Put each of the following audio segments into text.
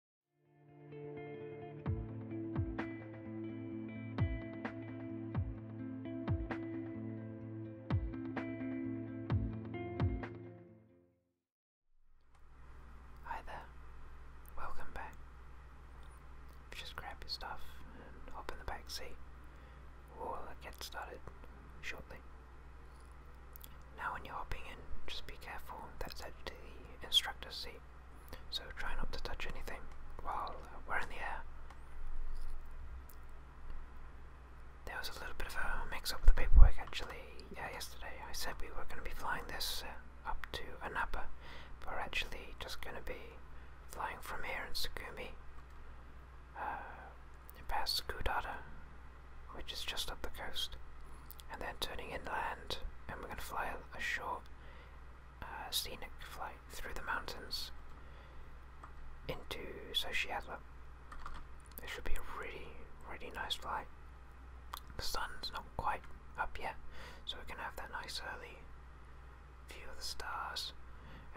Hi there, welcome back. Just grab your stuff and hop in the back seat. We'll get started shortly. Now, when you're hopping in, just be careful that's edge to the instructor's seat, so try not to touch anything while we're in the air. There was a little bit of a mix up with the paperwork actually. Yeah, yesterday I said we were going to be flying this uh, up to Anapa, but we're actually just going to be flying from here in Sugumi uh, past Skudada, which is just up the coast and then turning inland, and we're going to fly a, short uh, scenic flight through the mountains into Sociedla. It should be a really, really nice flight. The sun's not quite up yet, so we can have that nice early view of the stars,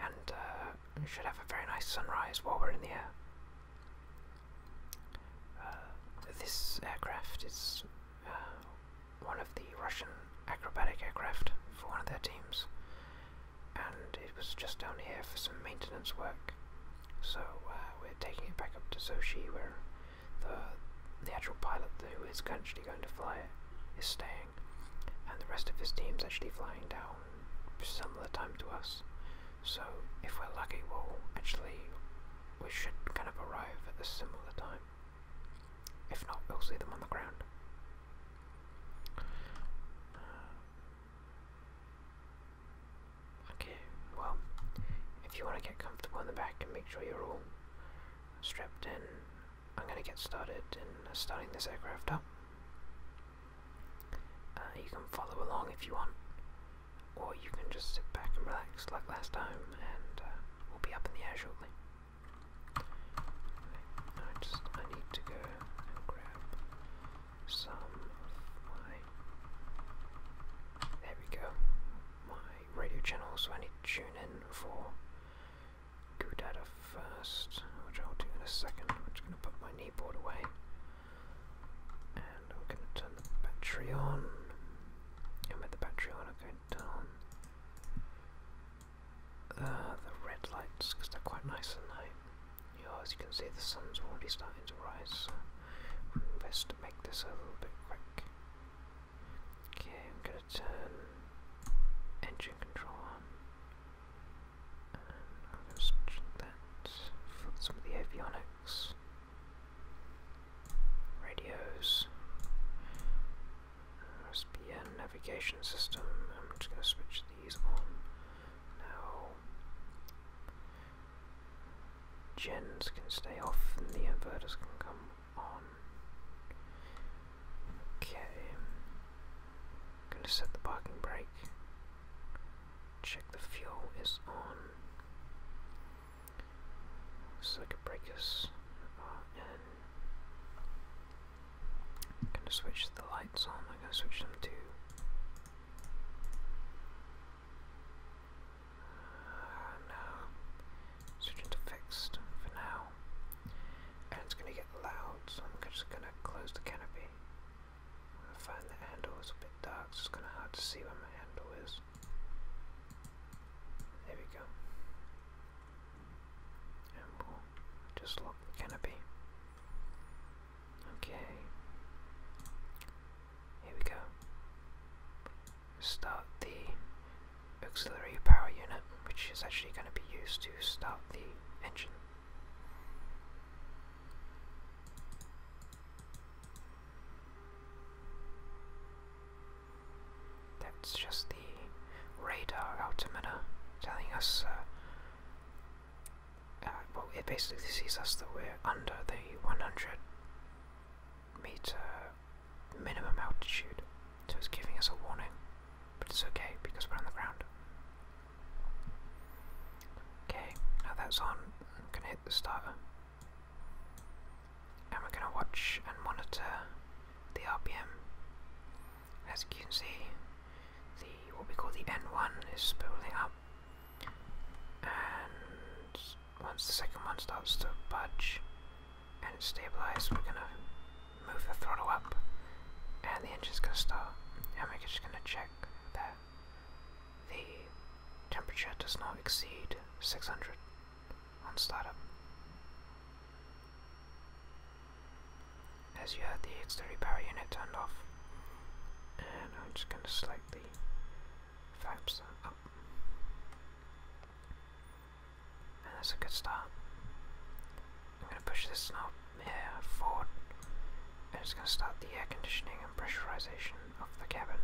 and uh, should have a very nice sunrise while we're in the air. Uh, this aircraft is one of the Russian acrobatic aircraft for one of their teams, and it was just down here for some maintenance work. So uh, we're taking it back up to Sochi, where the the actual pilot who is actually going to fly it is staying, and the rest of his team is actually flying down similar time to us. So if we're lucky, we'll actually we should kind of arrive at a similar time. If not, we'll see them on the ground. Uh, okay, well, if you want to get comfortable in the back and make sure you're all strapped in, I'm going to get started in starting this aircraft up. Uh, you can follow along if you want or you can just sit back and relax like last time, and uh, we'll be up in the air shortly. I just I need to go grab some of There we go, my radio channel. So I need to tune in for Gudata first, which I'll do in a second. I'm just going to put my kneeboard away, and I'm going to turn the battery on. I'm at the Patreon, I'll go down uh, the red lights because they're quite nice at night. You know, as you can see, the sun's already starting to rise, so we'll best make this a little bit quick. Okay, I'm gonna turn engine control on, I'm going that for some of the avionics. Radios. SPN navigation system. I'm just going to switch these on now. Gens can stay off and the inverters can come on. Okay. going to set the parking brake. Check the fuel is on. So I could break this uh, I'm going to switch the lights on. I'm going to switch them to. Uh, no. Switching fixed for now. And it's going to get loud, so I'm just going to close the canopy. I find the handle is a bit dark, it's kind of hard to see where my handle is. There we go. And we'll just lock the canopy. Okay. Here we go. Start the auxiliary power unit, which is actually going to be used to start the engine. That's just the radar altimeter telling us. Uh, uh, well, it basically sees us that we're under the 100 meter minimum altitude, so it's giving us a warning. But it's okay because we're on the ground. Okay, now that's on. I'm gonna hit the starter and we're going to watch and monitor the RPM. As you can see, the what we call the N1 is spooling up, and once the second one starts to budge and it's stabilised, we're going to move the throttle up, and the engine's going to start, and we're just going to check that the temperature does not exceed 600 on startup. As you heard, the auxiliary power unit turned off, and I'm just going to select the flaps up. And that's a good start. I'm going to push this knob here forward, and it's going to start the air conditioning and pressurization of the cabin.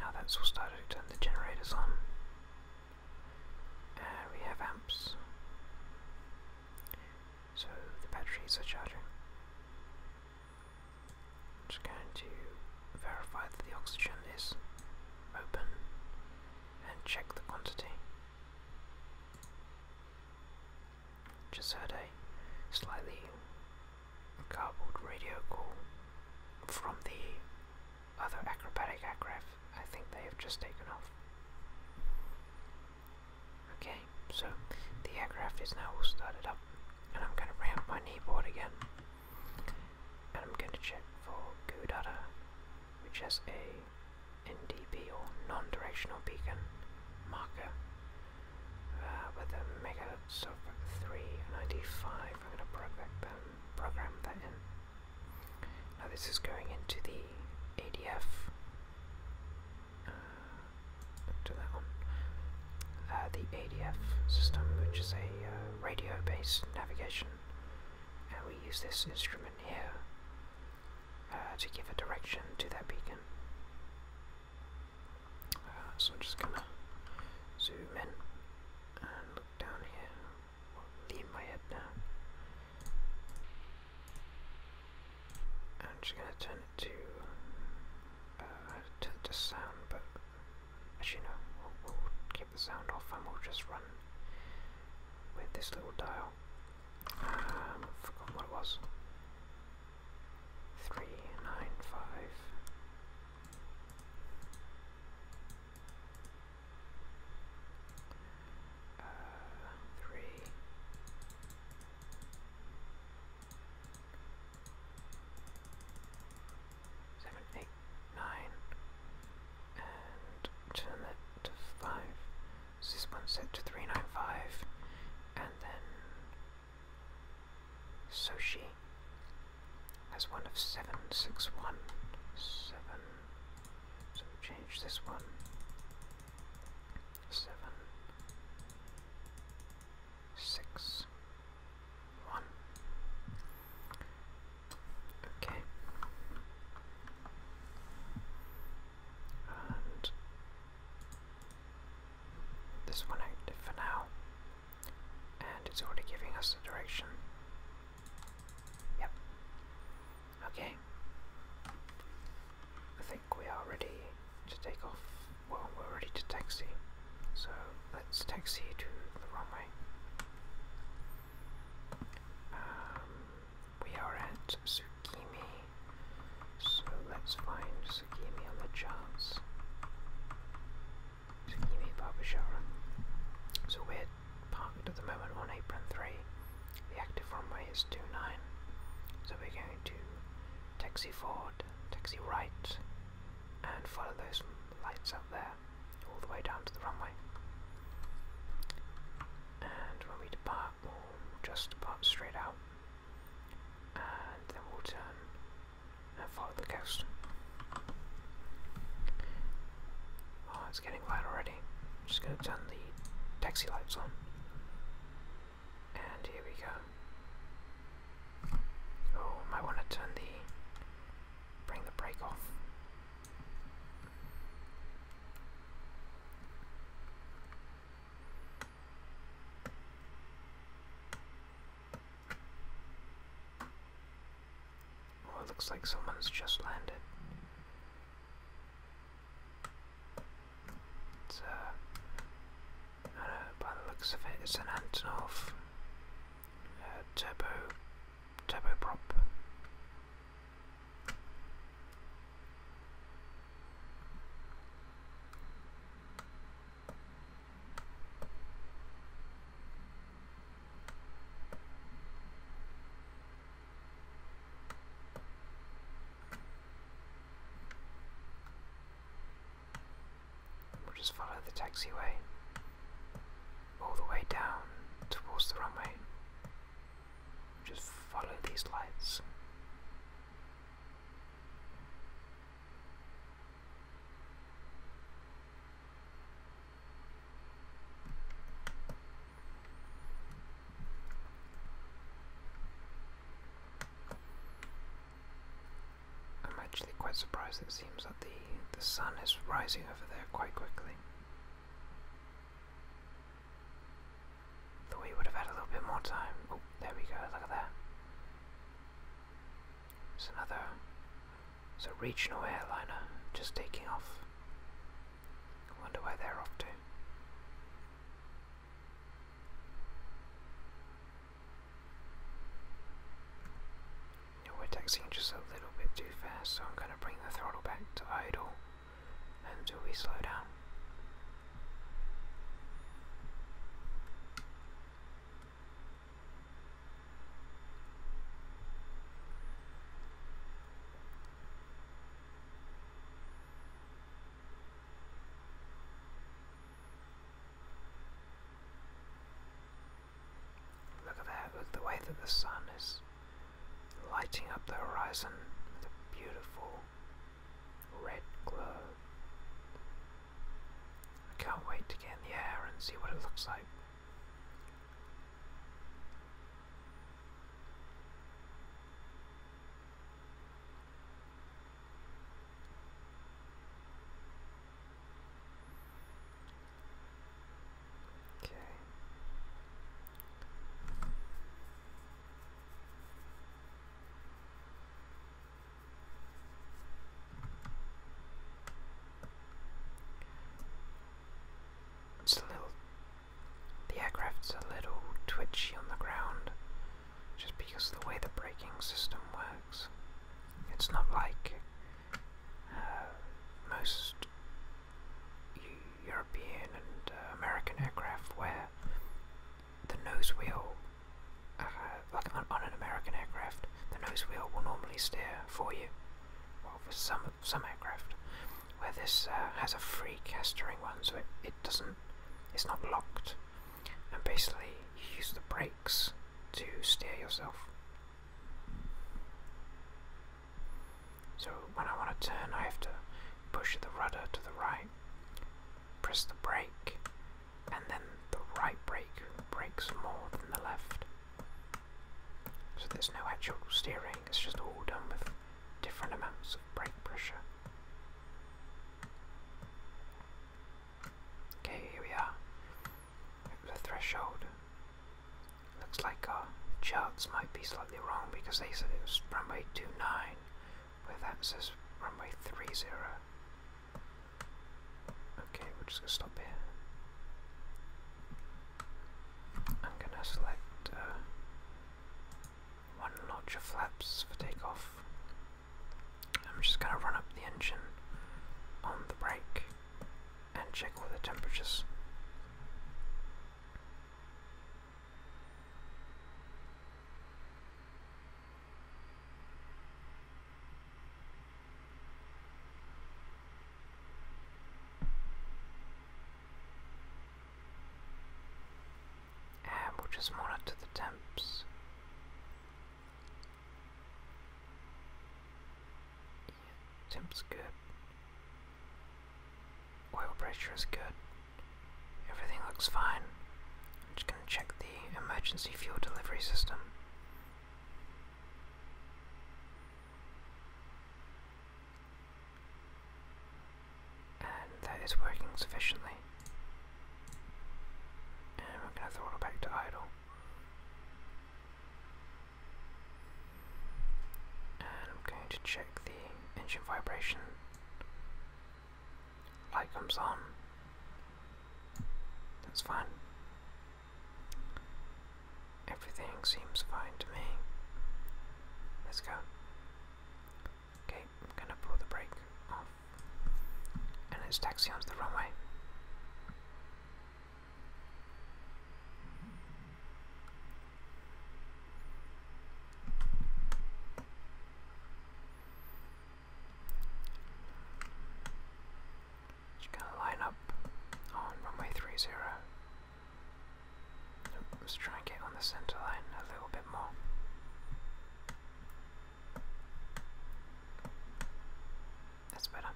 Now that's all started, turn the generators on. Uh, we have amps, so the batteries are charging. I'm just going to verify that the oxygen is open and check the quantity. Just heard a slightly garbled radio call from the other acrobatic aircraft. I think they have just taken off. Okay, so the aircraft is now all started up, and I'm going to bring up my kneeboard again, and I'm going to check for good Gudada, which has a NDB or non-directional beacon marker with uh, a megahertz of 395. I'm going to program, that in. Now this is going into the ADF. Uh, that one. Uh, the ADF system, which is a uh, radio-based navigation, and we use this instrument here to give a direction to that beacon. Uh, so I'm just gonna zoom in and look down here. i lean my head now. I'm just gonna turn it to uh, turn it to sound, but actually no, we'll, we'll keep the sound off and we'll just run with this little dial. Um, forgot what it was three nine five uh, and turn that to five this one set to 395, and then Soshi has one of seven six one seven. So we change this one. Okay. And this one active for now, and it's already giving us the direction. Yep. Okay. I think we are ready to take off. Well, we're ready to taxi. So let's taxi to the runway. Um, we are at Tsukimi so let's find Tsukimi on the chance. Tsukimi Barbashara. So we're parked at the moment on apron 3. The active runway is two nine. So we're going to taxi forward, taxi right, and follow those lights up there all the way down to the runway. And when we depart, that ball just about straight out. And then we'll turn and follow the coast. Oh, it's getting light already. just going to turn the taxi lights on. And here we go. Oh, might want to turn the. bring the brake off. Oh, it looks like someone's just landed. It's, uh, by the looks of it, it's an Antonov uh, turbo, turboprop. We'll just follow the taxiway all the way down towards the runway. Just follow these lights. I'm actually quite surprised it seems that the the sun is rising over there quite quickly. Thought we would have had a little bit more time. Oh, there we go, look at that. It's another, it's a regional airliner just taking off. I wonder where they're off to. we're taxiing just a little bit too fast, so I'm going to bring the throttle back to idle until we slow down. Look at that, look the way that the sun is lighting up the horizon with a beautiful Red glow. I can't wait to get in the air and see what it looks like. Okay. It's a little. The aircraft's a little twitchy on the ground just because of the way the braking system works. It's not like uh, most European and uh, American aircraft where the nose wheel, uh, like on, an American aircraft, the nose wheel will normally steer for you. Well, for some some aircraft, where this uh, has a free castering one, so it, it doesn't, it's not locked, and basically you use the brakes to steer yourself. So when I want to turn, I have to push the rudder to the right, press the brake, and then the right brake brakes more than the left. So there's no actual steering, it's just all done with different amounts of brake pressure. Okay, here we are. Over the threshold. Looks like our charts might be slightly wrong because they said it was runway 29 where that says runway 30. Okay, we're just going to stop here. I'm going to select uh, one notch of flaps for takeoff. I'm just going to run up the engine on the brake and check all the temperatures we just monitor the temps. temp's good. Oil pressure is good. Everything looks fine. I'm just going to check the emergency fuel delivery system. And that is working sufficiently. And we're going to throttle back to idle. And I'm going to check the engine vibration light comes on. That's fine. Everything seems fine to me. Let's go. Okay, I'm gonna pull the brake off. And let's taxi onto the runway. Just gonna line up on runway 30. let's try and get on the center line a little bit more. That's better.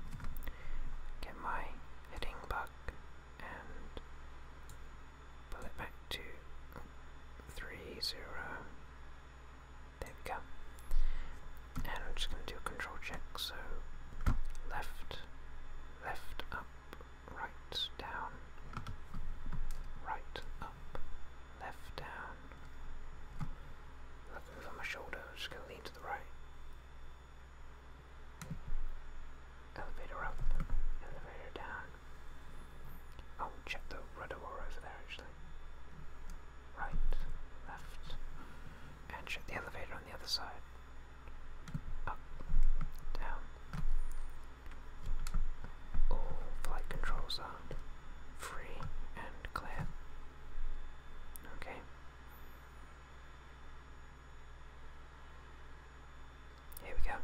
Get my heading back and pull it back to three zero. There we go. And I'm just going to do a control check. So left, left, up, right, down, right, up, left, down. Looking over my shoulder, I'm just going to lean to the right. Elevator up, elevator down, Oh, check the reservoir over there actually. Right, left, and check the elevator on the other side. Up, down. All flight controls are free and clear. Okay. Here we go.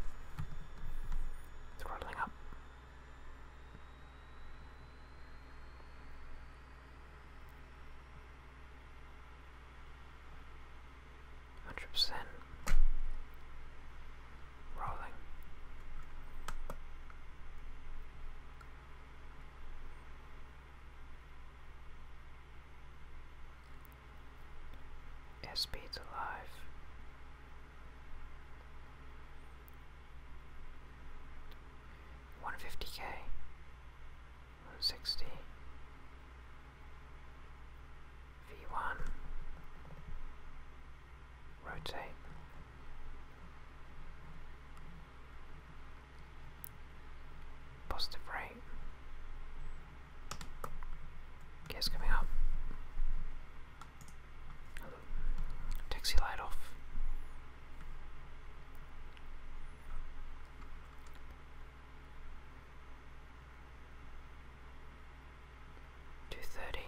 Throttling up. Hundred percent rolling. SP's alive. One fifty K, one sixty V one rotate. Positive rate. Gears coming up. Taxi light off. Two thirty.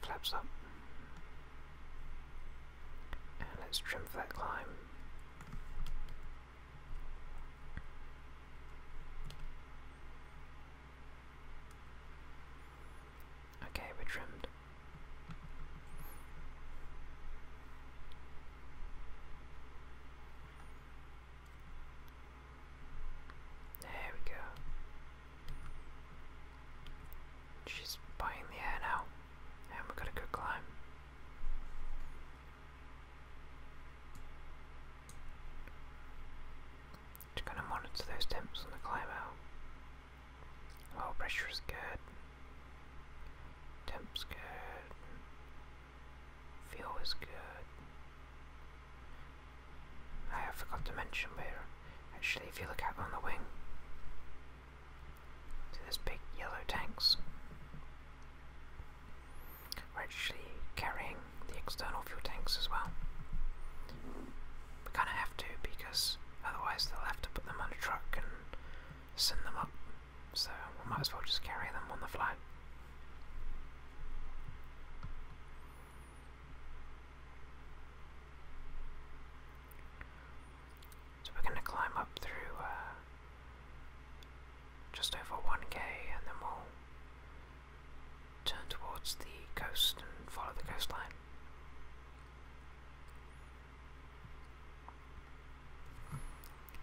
Flaps up. And let's trim for that climb. Okay, we're trimmed. There we go. She's buying the air now, and we're gonna go climb. Just gonna monitor those temps on the climb out. Oh, pressure is good. Temp's good. Fuel is good. I forgot to mention we're actually if you look out on the wing. See those big yellow tanks. We're actually carrying the external fuel tanks as well. We kind of have to because otherwise they'll have to put them on a truck and send them up. So we might as well just carry them on the fly. So we're going to climb up through uh, just over 1k and then turn towards the coast and follow the coastline.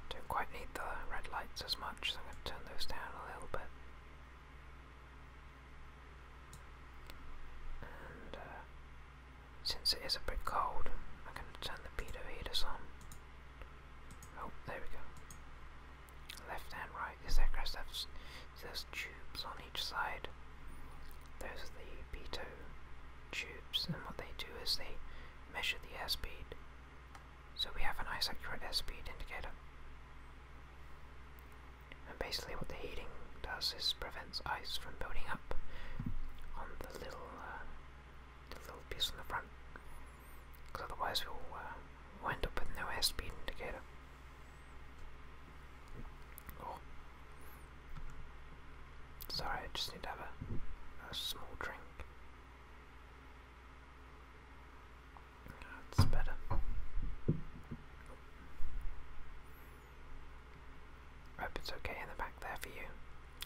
Don't quite need the red lights as much, so I'm going to turn those down a little bit. And uh, since it is a bit cold, I'm going to turn the heater heaters on. Oh, there we go. Left and right, these aircraft have those tubes on each side. Those are the pitot tubes, and what they do is they measure the airspeed. So we have a nice accurate airspeed indicator. And basically, what the heating does is prevents ice from building up on the little, uh, the little piece on the front because otherwise we'll uh, wind up with no airspeed indicator. Oh. Sorry, I just need to have a, a small drink. That's better. Hope it's okay in the back there for you.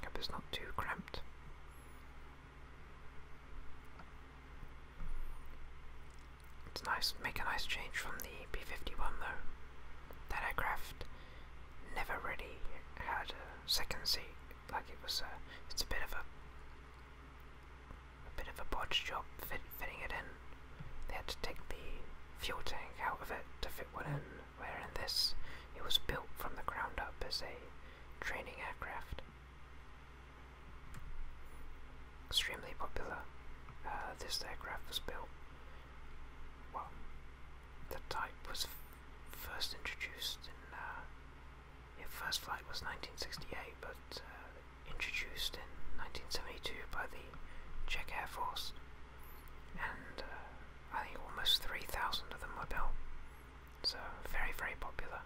Hope it's not too cramped. It's nice, make a nice change from the B-51 though. That aircraft never really had a second seat, like it was a, it's a bit of a, bit of a bodge job fitting it in. They had to take the fuel tank out of it to fit one in, where in this, it was built from the ground up as a training aircraft. Extremely popular. Uh, this aircraft was built. Well, the type was first introduced in. Uh, its first flight was 1968, but uh, introduced in 1972 by the Czech Air Force, and uh, I think almost 3,000 of them were built. So, very, very popular.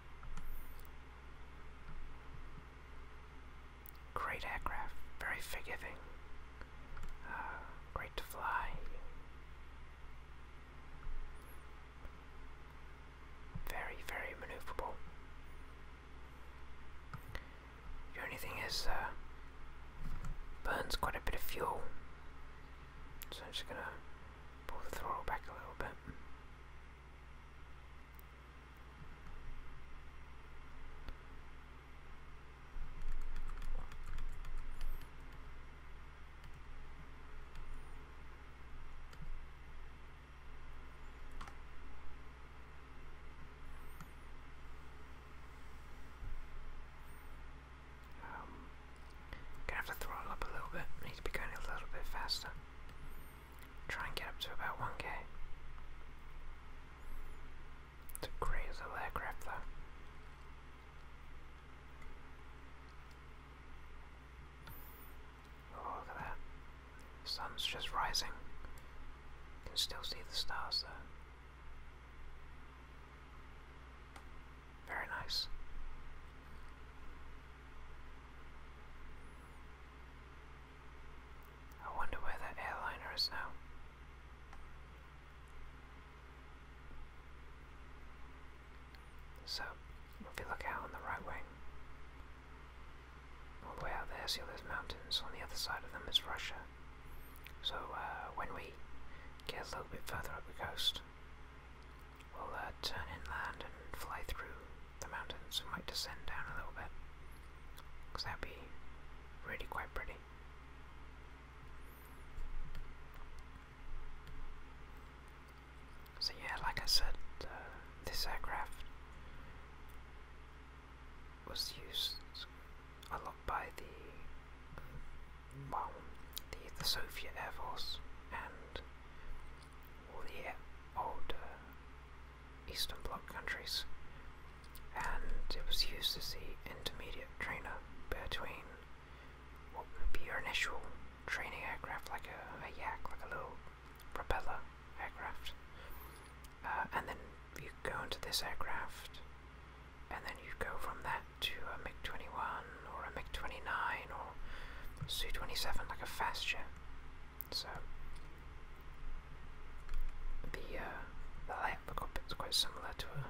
Great aircraft, very forgiving, uh, great to fly. Very, very maneuverable. The only thing is, uh, burns quite a bit of fuel. So I'm just gonna pull the throttle back a little bit. Um, gonna have to throttle up a little bit. Need to be going a little bit faster. Try and get up to about 1k. It's a great aircraft though. Oh, look at that. The sun's just rising. You can still see the stars there. Very nice. I wonder where that airliner is now. So, if you look out on the right wing, all the way out there, see those mountains. On the other side of them is Russia. So, uh, when we get a little bit further up the coast, We'll uh, turn inland and fly through the mountains. We might descend down a little bit. that'd be really quite pretty. So, yeah, like I said, uh, this aircraft was used a lot by the, well, the, the Soviet Air Force and all the old uh, Eastern Bloc countries, and it was used as the intermediate trainer between what would be your initial training aircraft, like a, yak, like a little propeller aircraft, uh, and then you go into this aircraft, and then you go from that to a MiG 21 or a MiG 29 or Su 27, like a fast jet. So uh, the layout of the cockpit's quite similar to a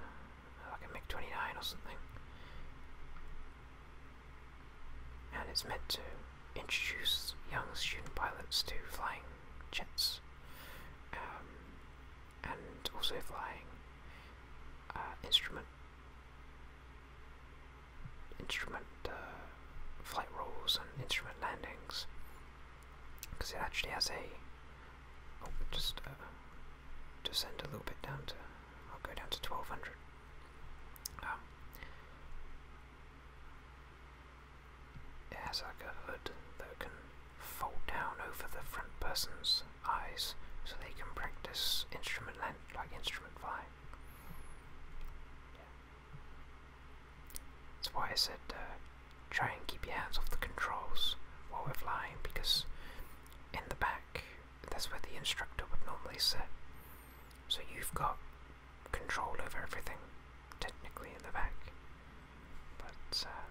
like a MiG twenty nine or something, and it's meant to introduce young student pilots to flying jets, um, and also flying uh, instrument instrument uh, flight rules and instrument landings because it actually has a oh, just uh, descend a little bit down to I'll go down to 1200 um, it has like a hood that can fold down over the front person's eyes so they can practice instrument land like instrument flight. That's why I said uh, try and keep your hands off the controls while we're flying because in the back that's where the instructor would normally sit. So you've got control over everything technically in the back. But uh,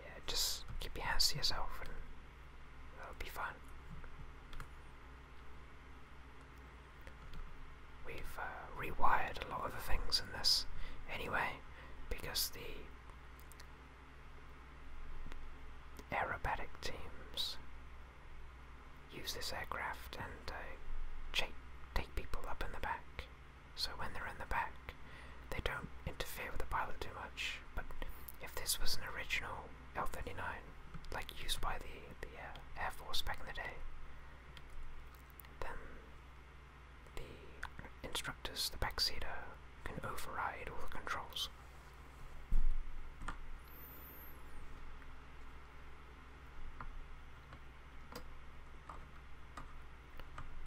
yeah, just keep your hands to yourself and that'll be fine. We've uh, rewired a lot of the things in this anyway, because the aerobatic teams use this aircraft and uh, take people up in the back. So when they're in the back, they don't interfere with the pilot too much. But if this was an original L-39, like used by the, the uh, Air Force back in the day, then the instructors, the backseater, can override all the controls.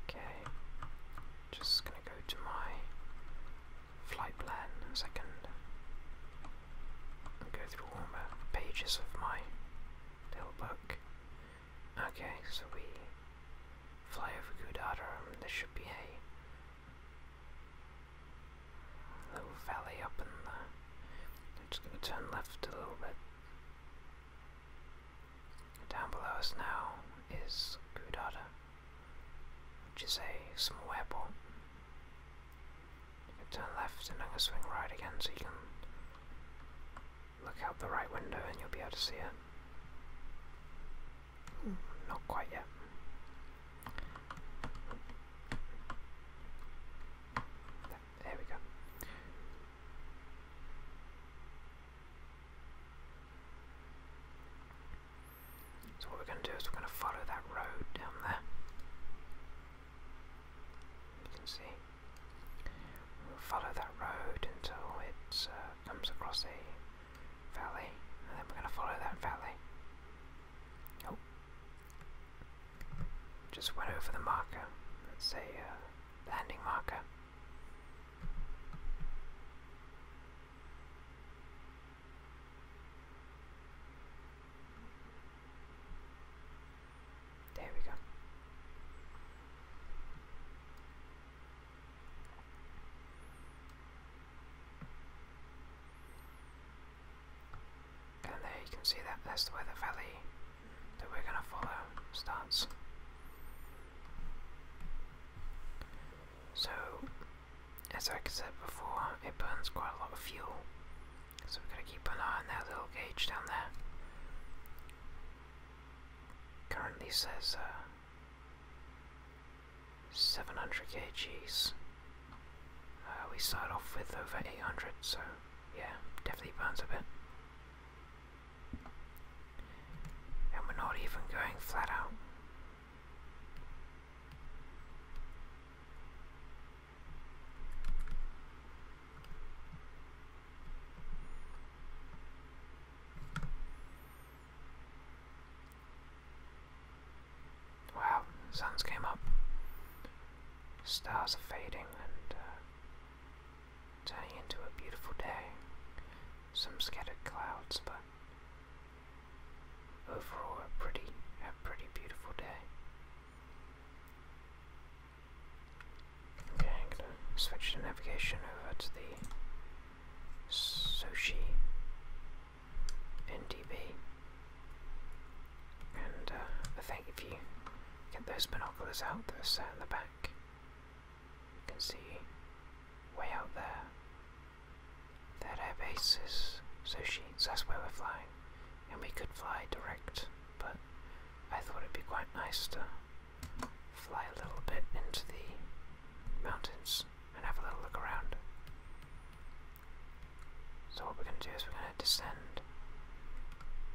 Okay, just gonna go to my flight plan as I can go through all the pages of my little book. Okay, so we fly over Gudadaram. There should be a little valley up in there. I'm just going to turn left a little bit. Down below us now is Gudada, which is a small airport turn left and I'm going to swing right again so you can look out the right window and you'll be able to see it. not quite yet. There we go. So what we're going to do is we're going to follow that road down there. You can see. We'll follow that road until it uh, comes across a valley, and then we're going to follow that valley. Oh, just went over the marker. Let's say uh, landing marker. There we go. And there you can see that that's the way the valley that we're going to follow starts. So as I said before, it burns quite a lot of fuel, so we've got to keep an eye on that little gauge down there. Currently says uh, 700 kgs. Uh, we start off with over 800, so yeah, definitely burns a bit. And we're not even going flat out. Wow, suns came up. Stars are fading and uh, turning into a beautiful day. Some scattered clouds, but Overall, a pretty, a pretty beautiful day. Okay, I'm gonna switch the navigation over to the Sushi NDB, and uh, I think if you get those binoculars out that are set in the back, you can see way out there that our base is Sushi, that's where we're flying. And we could fly direct, but I thought it'd be quite nice to fly a little bit into the mountains and have a little look around. So what we're gonna do is we're gonna descend.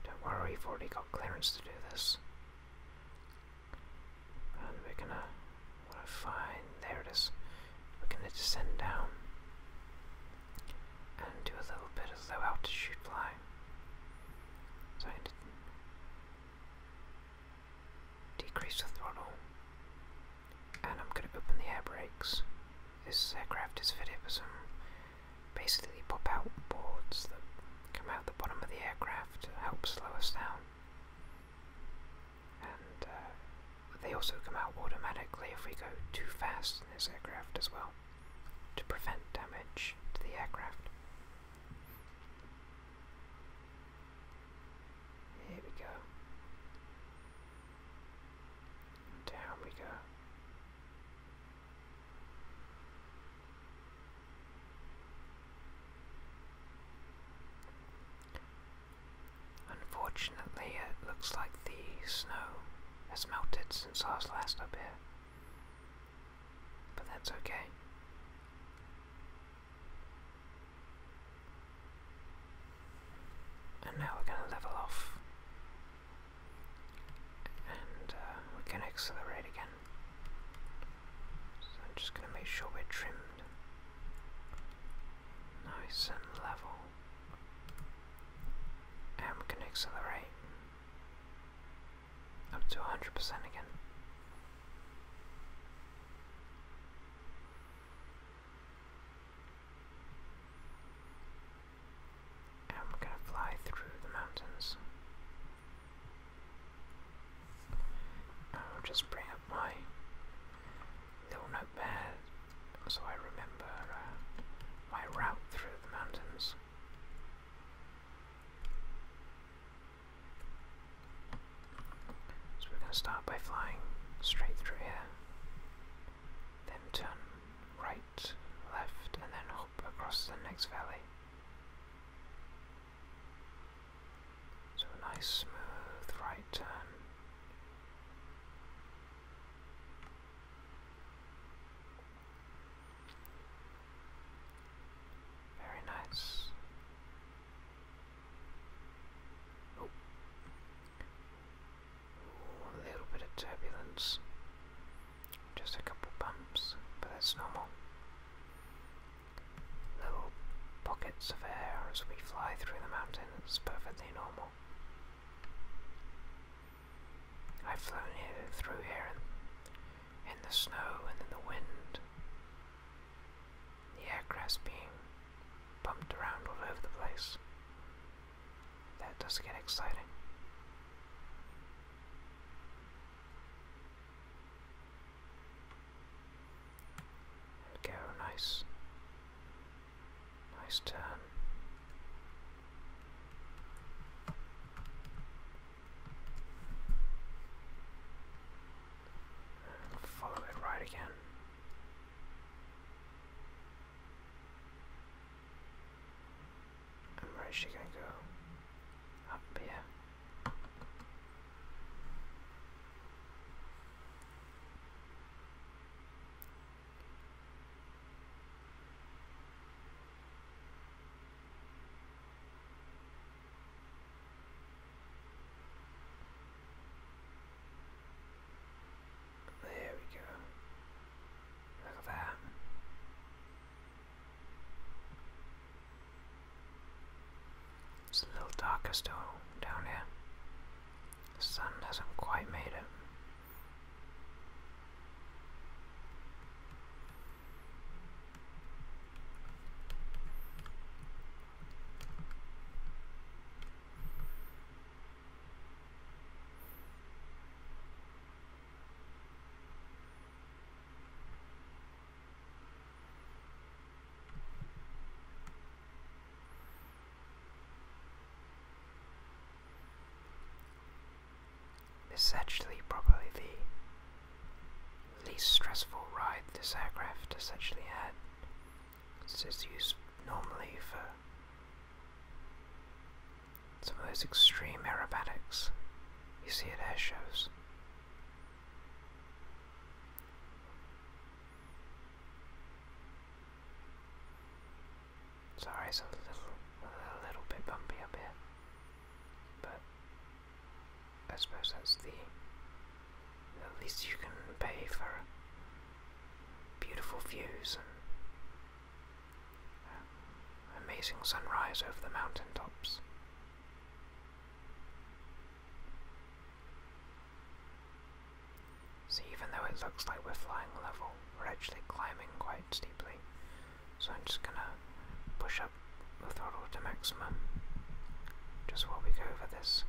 Don't worry, we've already got clearance to do this. And we're gonna wanna find there it is. We're gonna descend down and do a little bit of slow out to shoot fly. So I did to decrease the throttle, and I'm going to open the air brakes. This aircraft is fitted with some basically pop out boards that come out the bottom of the aircraft to help slow us down. Uh, they also come out automatically if we go too fast in this aircraft as well, to prevent damage to the aircraft. Here we go. Down we go. Unfortunately, it looks like the snow has melted since I was last up here. But that's okay. And now we're going to level off. And uh, we can accelerate again. So i just going to make sure we're trimmed. Nice and level. I'm gonna accelerate up to 100% again. And we going to fly through the mountains. I'll just bring up my little notepad so I remember uh, my route through the mountains. So we're going to start by flying straight through here, then turn right, left, and then hop across the next valley. So a nice smooth right turn. Very nice. Oh. a little bit of turbulence. Just a couple bumps, but that's normal. Little pockets of air as we fly through the mountain, it's perfectly normal. I've flown here, through here in, in the snow and in the wind. The aircraft's being bumped around all over the place. That does get exciting. Go nice Nice turn. follow it right again. where is she going to go? Up here. There we go. Look at that. It's a little darker still down here. The sun hasn't quite made it. This is actually probably the least stressful ride this aircraft essentially had. This is used normally for some of those extreme aerobatics you see at air shows. Sorry, it's a little, a little bit bumpy up here, but I suppose that's the at least you can pay for beautiful views and uh, amazing sunrise over the mountain tops. So even though it looks like we're flying level, we're actually climbing quite steeply. So I'm just gonna push up the throttle to maximum just while we go over this.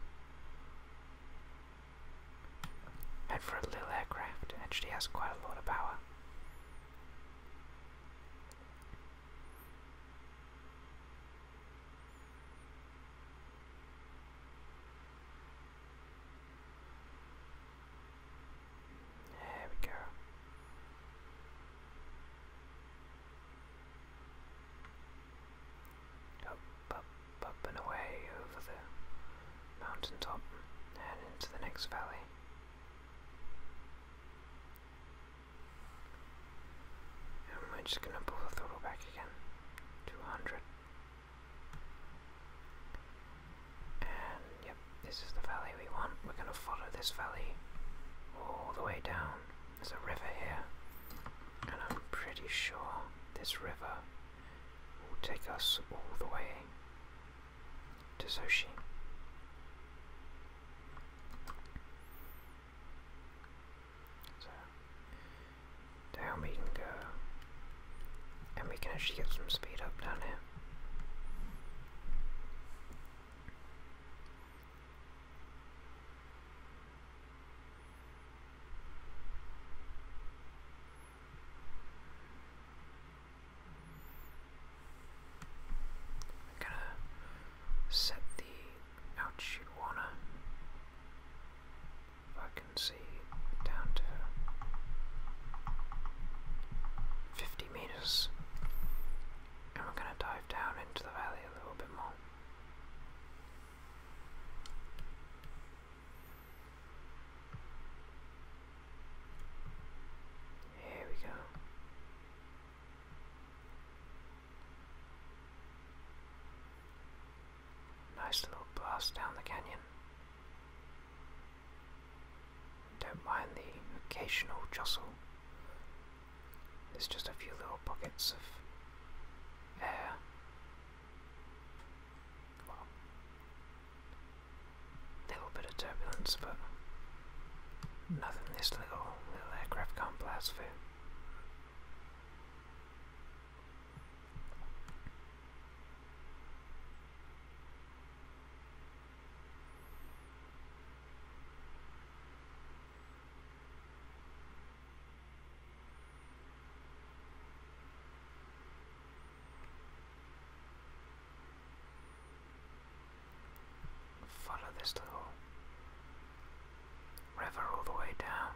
And for a little aircraft, actually has quite a lot of power. There we go. Up, up, up and away over the mountaintop and into the next valley. And we just going to pull the throttle back again to and yep, this is the valley we want. We're going to follow this valley all the way down. There's a river here, and I'm pretty sure this river will take us all the way to Soshi. So, down we can go. And we can actually get some speed up down here. I'm gonna set the altitude warner I can see down to 50 meters. And we're going to dive down into the valley a little bit more. Here we go. Nice little blast down the canyon. Don't mind the occasional jostle. There's just a few little pockets of air. Well, little bit of turbulence, but nothing this little little aircraft can't blast through. Follow this little river all the way down.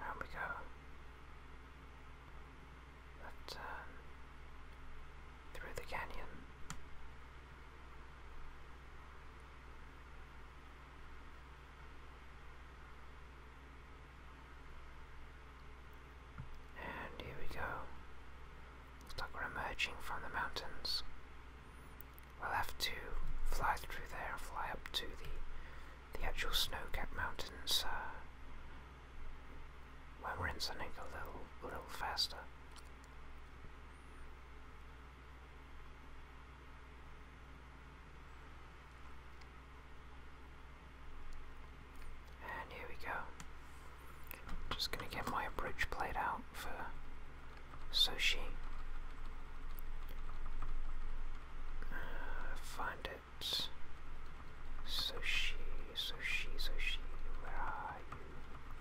There we go. Left turn uh, through the canyon. And here we go. Looks emerging from the mountains. We'll have to fly through there, fly up to the the actual snow-capped mountains uh, we're in a little, a little faster. And here we go. Just gonna get my approach played out for Soshi. Uh, find it. Soshi, Soshi, Soshi, where are you?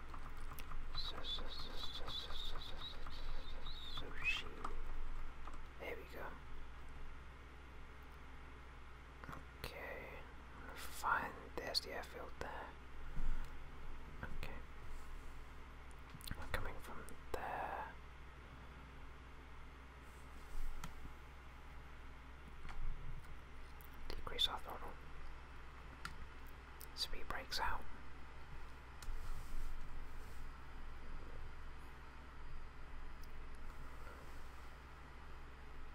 Sushi. There we go. Okay. Fine. There's the airfield there. Okay. We're coming from there. Decrease our throttle. So he breaks out.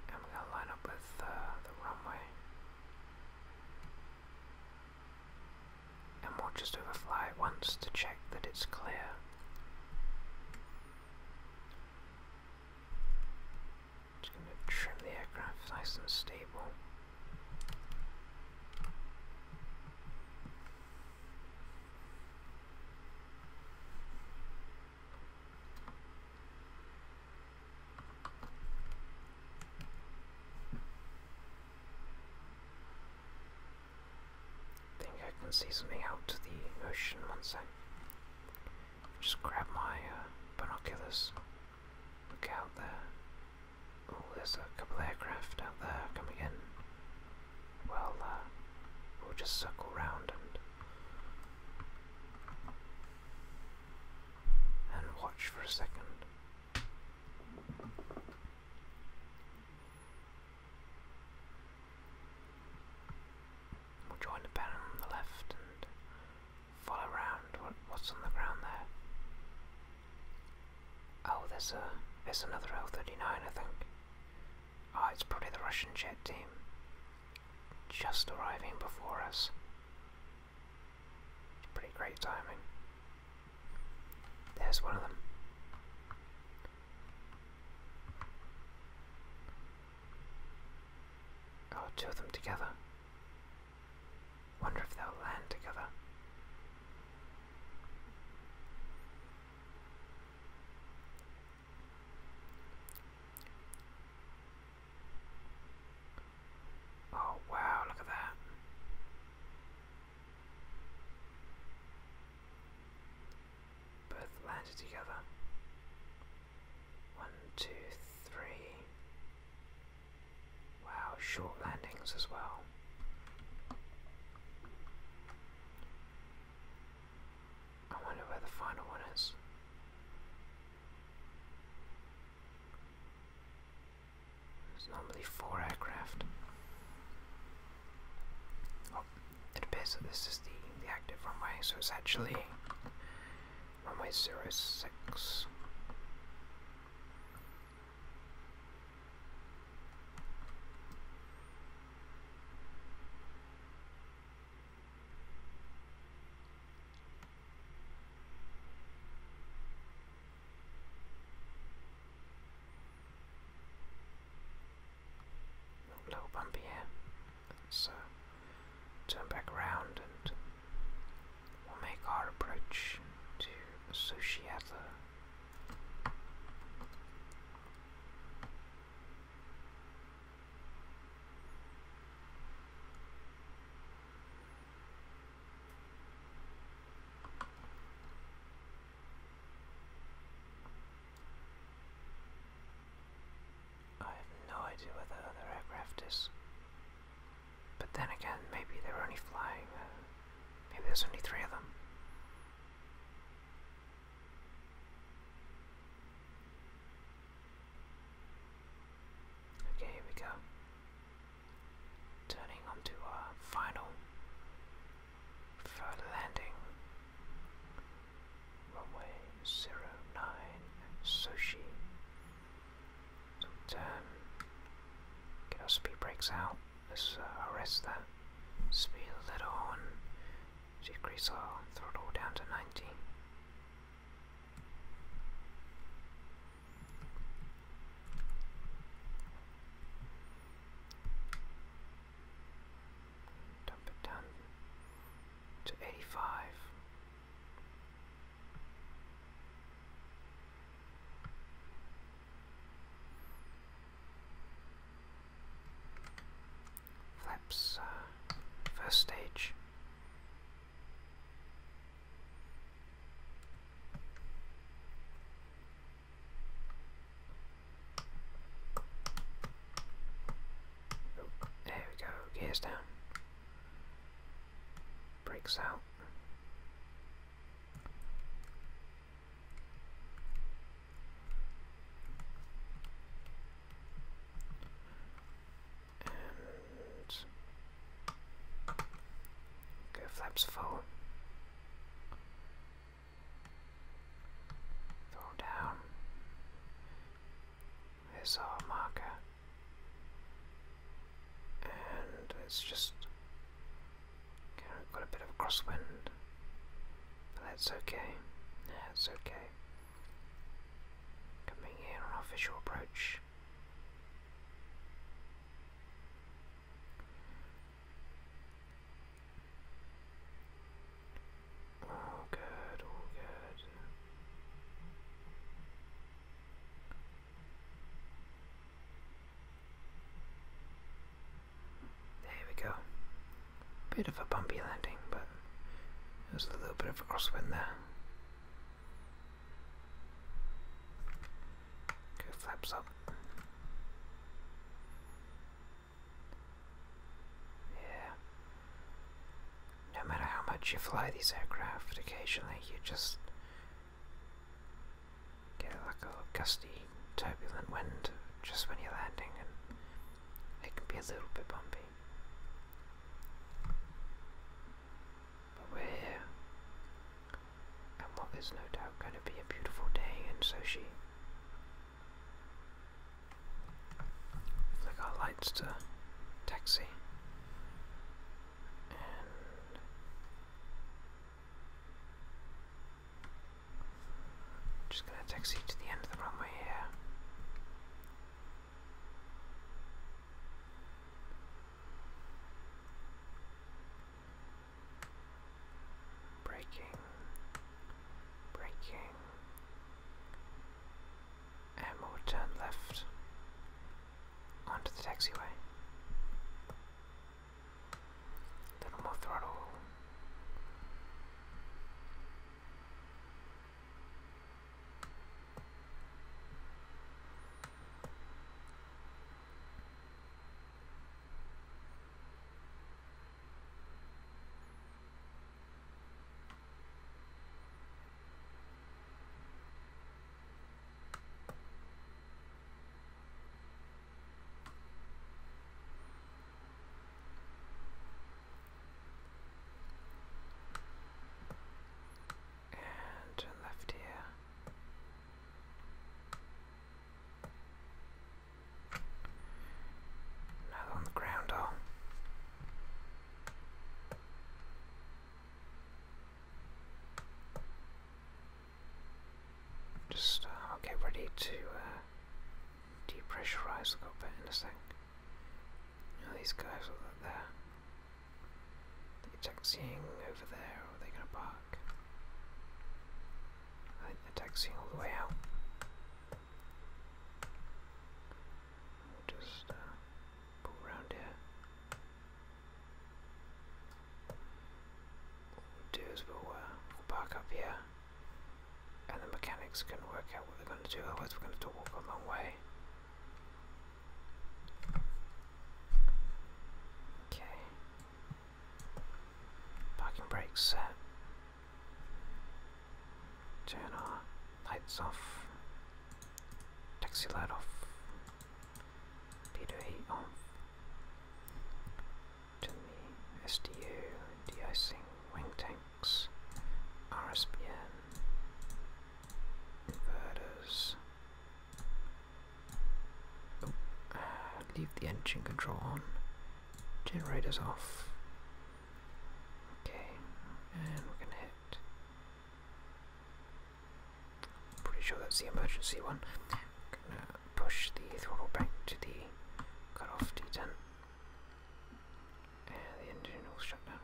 And we're going to line up with uh, the runway. And we'll just overfly it once to check that it's clear. Just gonna trim the aircraft nice and stable. I think I can see something out to the ocean one sec. Just grab my uh, binoculars. Look out there. Oh, there's a couple aircraft out there coming in. Well, uh, we'll just circle round and and watch for a second. We'll join the banner on the left Fall around. what's on the ground there? Oh, there's a there's another L-39, I think. Ah, it's probably the Russian jet team. Just arriving before us. pretty great timing. There's one of them. Oh, two of them together. Wonder if they'll land together. Oh wow, look at that. Both landed together. One, two, three. Wow, short landings as well. I wonder where the final one is. There's normally four aircraft. Oh, it appears that this is the, the active runway, so it's actually runway zero little bumpy here, so turn back around and we'll make our approach to Sushiata. I have no idea where the other aircraft is. But then again, maybe they were only flying. Uh, maybe there's only three of them. Okay, here we go. Turning onto final for landing. Runway zero nine, Sochi get our um, speed brakes out. Let's uh, arrest that. Speed a little on. Decrease our throttle down to 90. Dump it down to 85. Flaps, uh, first stage. there we go, gears down. Breaks out. And go flaps full. Throw down. There's our marker and it's just got a bit of a crosswind, but that's okay. That's okay. Coming in on our visual approach. All good, all good. There we go. Bit of a bumpy landing, but there's a little bit of a crosswind there. Go flaps up. Yeah no matter how much you fly these aircraft, occasionally you just get like a gusty, turbulent wind just when you're landing, and it can be a little bit bumpy. But we're here, and what is no doubt going to be a beautiful day in Sochi. Flick our lights to taxi. And just going to taxi to the end of the runway here. Breaking, breaking, and we'll turn left onto the taxiway. A little more throttle. And left here. Another on the ground, oh. Just uh, I'll get ready to uh, depressurize the cockpit in a sec. these guys are there. They're taxiing over there, or are they going to park? I think they're taxiing all the way out. just uh, pull around here we'll do is we'll, uh, we park up here, and the mechanics can work out what we are going to do, otherwise, we're going to have to walk a long way. Okay. Parking brake set. Turn our lights off. Taxi light off. D-Day um, To the SDU, de wing tanks, RSPN, inverters. Oh, uh, leave the engine control on, generators off. Okay, and we're gonna hit I'm pretty sure that's the emergency one. I'm gonna push the throttle back to the cutoff D10. And the engine will shut down.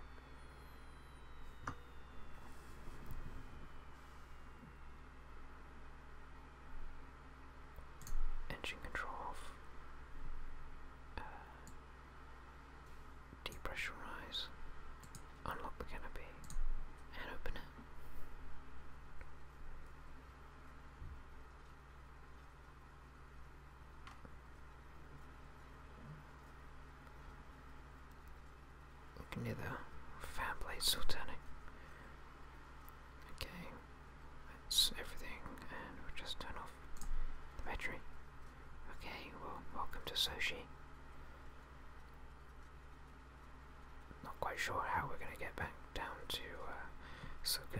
Engine control off. Uh, depressurize, unlock the canopy, and open it. We can the fan blade still turning. Okay, that's everything, and we'll just turn off the battery. Okay, well, welcome to Sochi. Not quite sure how we're going to get back down to uh,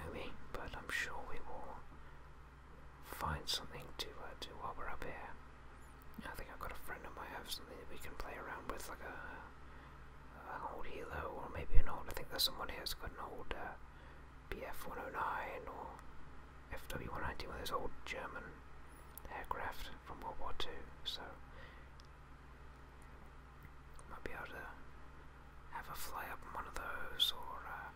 but I'm sure we will find something to uh, do while we're up here. I think I've got a friend who might have something that we can play around with, like a, an old Hilo, or maybe an old. I think there's someone here who's got an old uh, BF 109 FW190, one of old German aircraft from World War II, so might be able to have a fly up in one of those, or uh,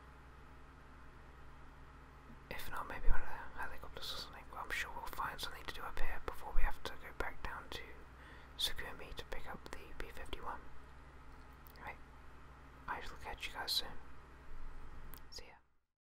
if not, maybe one of the helicopters or something. I'm sure we'll find something to do up here before we have to go back down to Sukumi to pick up the B-51. Right, I shall catch you guys soon. See ya.